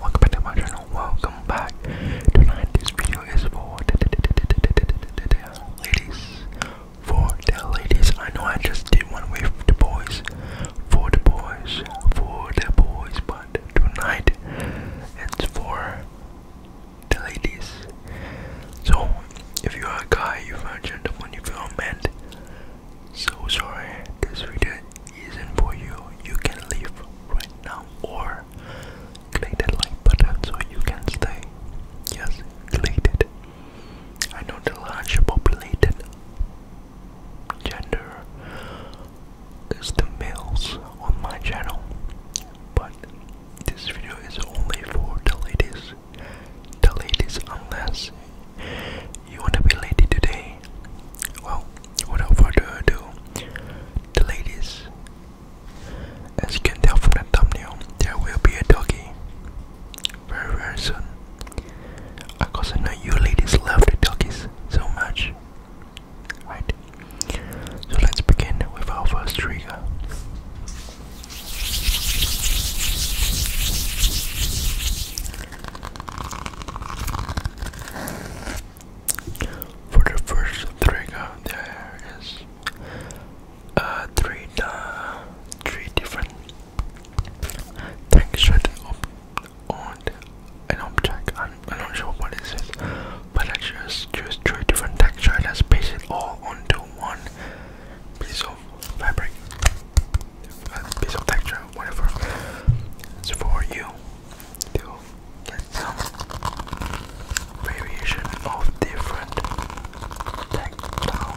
Welcome back to my channel. Welcome back. Tonight, this video is for ladies. For the ladies, I know I just did one with the boys. For the boys, for the boys, but tonight it's for the ladies. So, if you are a guy, you are a gentleman, if you are a man, so sorry, this video isn't for you. You can leave right now or click the like button so you can stay. Yes, click it. I know the large populated gender is the males on my channel, but this video is only for the ladies. The ladies, unless you wanna be lady today? Well, without further do? the ladies. As you can tell from the thumbnail, there will be a doggy very very soon. Of course, I know you ladies love the doggies so much. Right? So let's begin with our first trigger. For the first trigger, there is uh, three, uh, three different textures on an object. I'm, not sure what this is, but I just choose three different textures and paste it all onto one piece of fabric, piece of texture whatever it's for you to get some variation of different tactile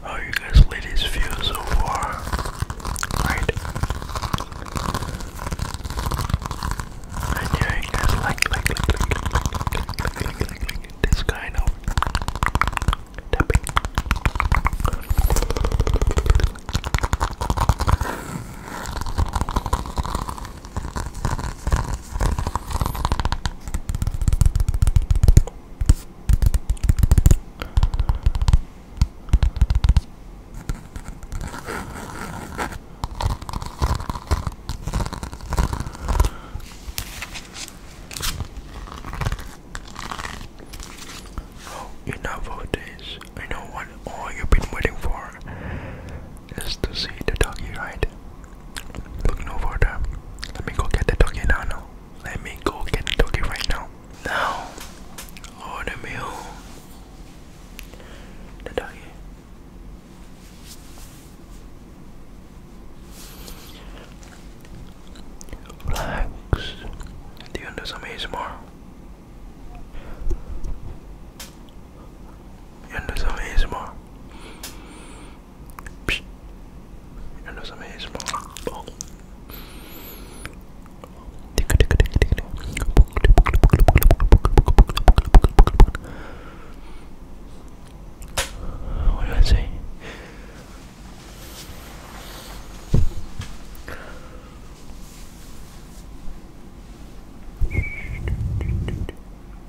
How oh, you guys ladies feel so far? Right? I'm doing this like, like, like, like, like, like, like, like, like, like this kind of tapping. Oh, enough of this. I know what all you've been waiting for is to see the doggy ride. Look no further. Let me go get the doggy now. Let me go get the doggy right now. Now, order meal the doggy. Relax. Do you want to do some ASMR? You want to do some what do I say?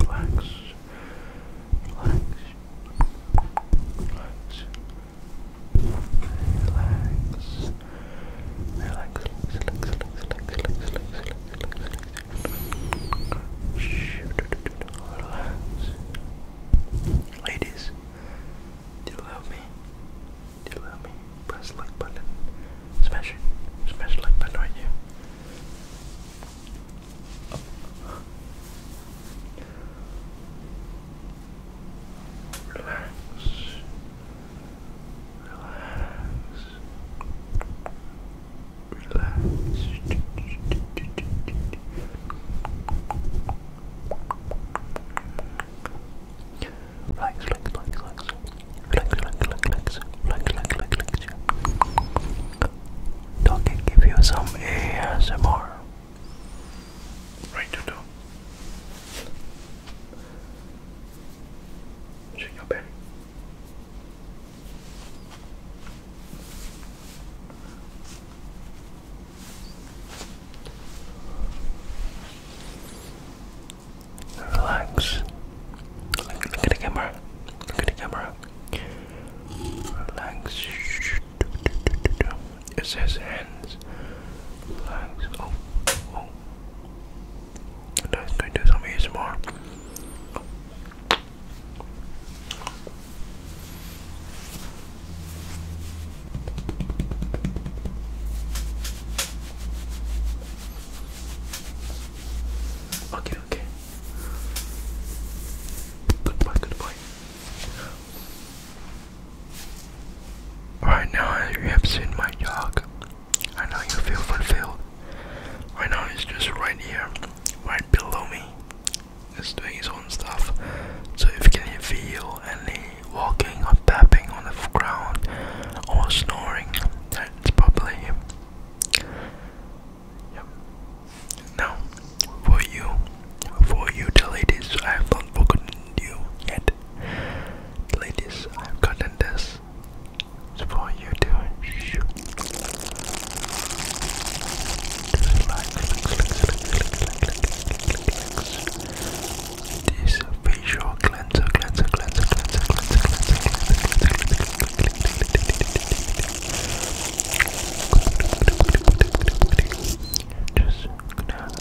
Relax. Relax. Relax. Relax. Relax, relax, relax, relax, relax, relax, relax, relax, relax. Ladies, do you love me? Do you love me? Press like button. Smash it. Smash like button right here. Relax. Relax. Relax, relax, relax, relax. Relax, relax, relax, relax, relax, relax, relax, relax. Dog can give you some ASMR. Right to do. Check out Benny. Relax. Look at the camera. Look at the camera. Relax. It says hands. Relax. Oh, oh. And that's going to do some ASMR. Okay, okay. Goodbye, goodbye. Right now, you have seen my dog. I know you feel fulfilled. I know it's just right here, right below me. He's doing his own stuff. So if you can feel any walking or tapping on the ground or snoring, that's probably him. Now, for you, for you, the ladies, I have not forgotten you yet. ladies, I've got this is for you to shoot. Relax, relax, relax, This facial cleanser, cleanser, cleanser, cleanser, cleanser, cleanser, cleanser, cleanser, cleanser, cleanser, cleanser. Just going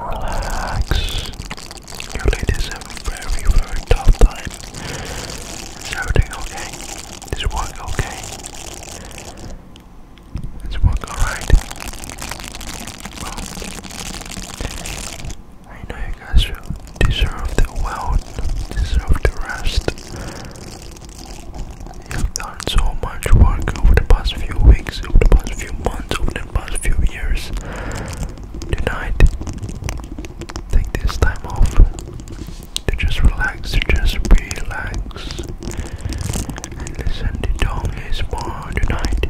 Relax. You ladies have very, very tough time. Is everything okay? Is work okay? Is work alright? I know you guys deserve the wealth, deserve the rest. You've done so much work over the past few weeks, over the past few months, over the past few years. Tonight, take this time off to just relax, to just relax. And listen to Tony's more tonight.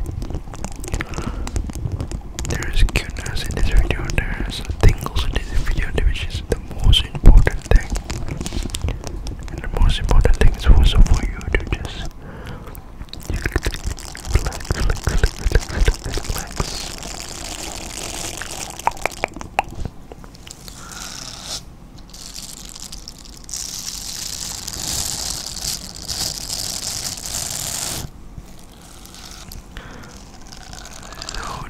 There is cuteness in this video, there is tingles in this video, which is the most important thing. And the most important thing is also for you to just Relax,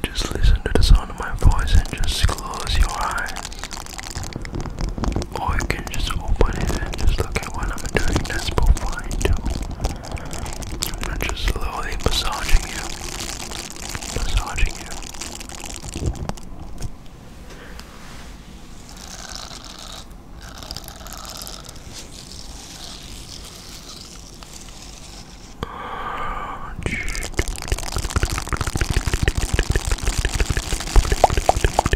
just listen to the sound of my voice and just close your eyes. Or I can just open it and just look at what I'm doing. That's both fine too. I'm not just slowly massaging you. Massaging you.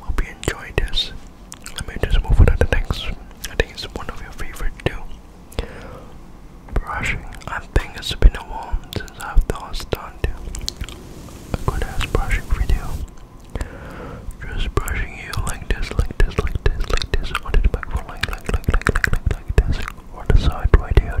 Hope you enjoyed this. Let me just move on to the next. I think it's one of your favorite too. Brushing. I think it's been a while since I've done a good ass brushing video. Just brushing you like this, like this, like this, like this, onto the back for like, like, like, like, like, like, this, or the side right here.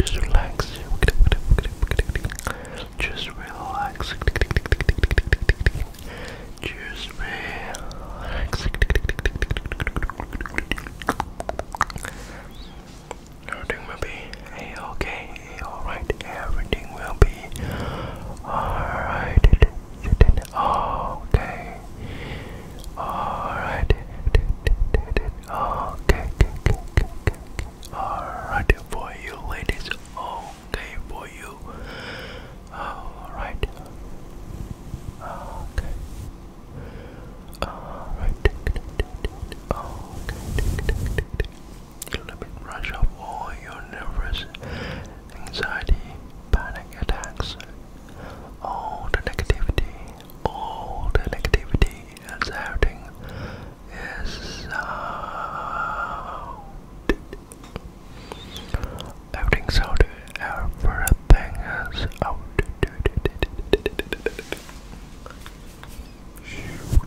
Just relax. Just relax. Just relax. Everything will be okay, alright. Everything will be alright. Okay. Alright. Okay, okay, okay, okay. Alright for you ladies. Okay for you. Alright. Okay. Alright. Okay. Let me brush off all your nervous anxiety, panic attacks, all the negativity, all the negativity is outing is out. Everything's Everything is out. Shoot.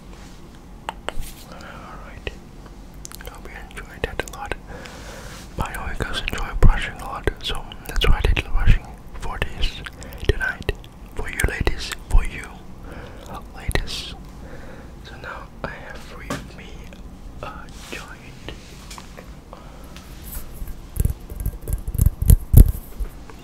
Alright. I hope you enjoyed that a lot. My oikas enjoy brushing a lot, so that's why I did brushing for this tonight. For you ladies, for you ladies. So now I have free with me a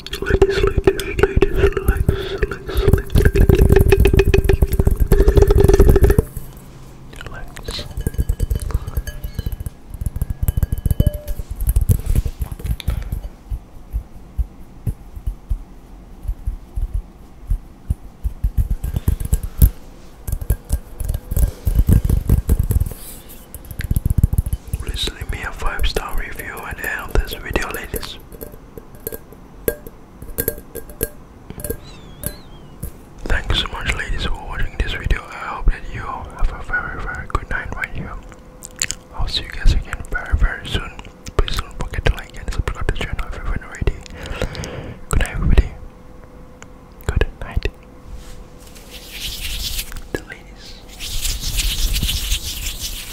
Ladies, ladies, ladies, relax, relax, relax, Please leave me a five star review and the end this video, ladies. Thank you so much, ladies, for watching this video. I hope that you have a very, very good night right here. I'll see you guys again very, very soon. Please don't forget to like and subscribe to the channel if you haven't already. Good night, everybody. Good night. The ladies.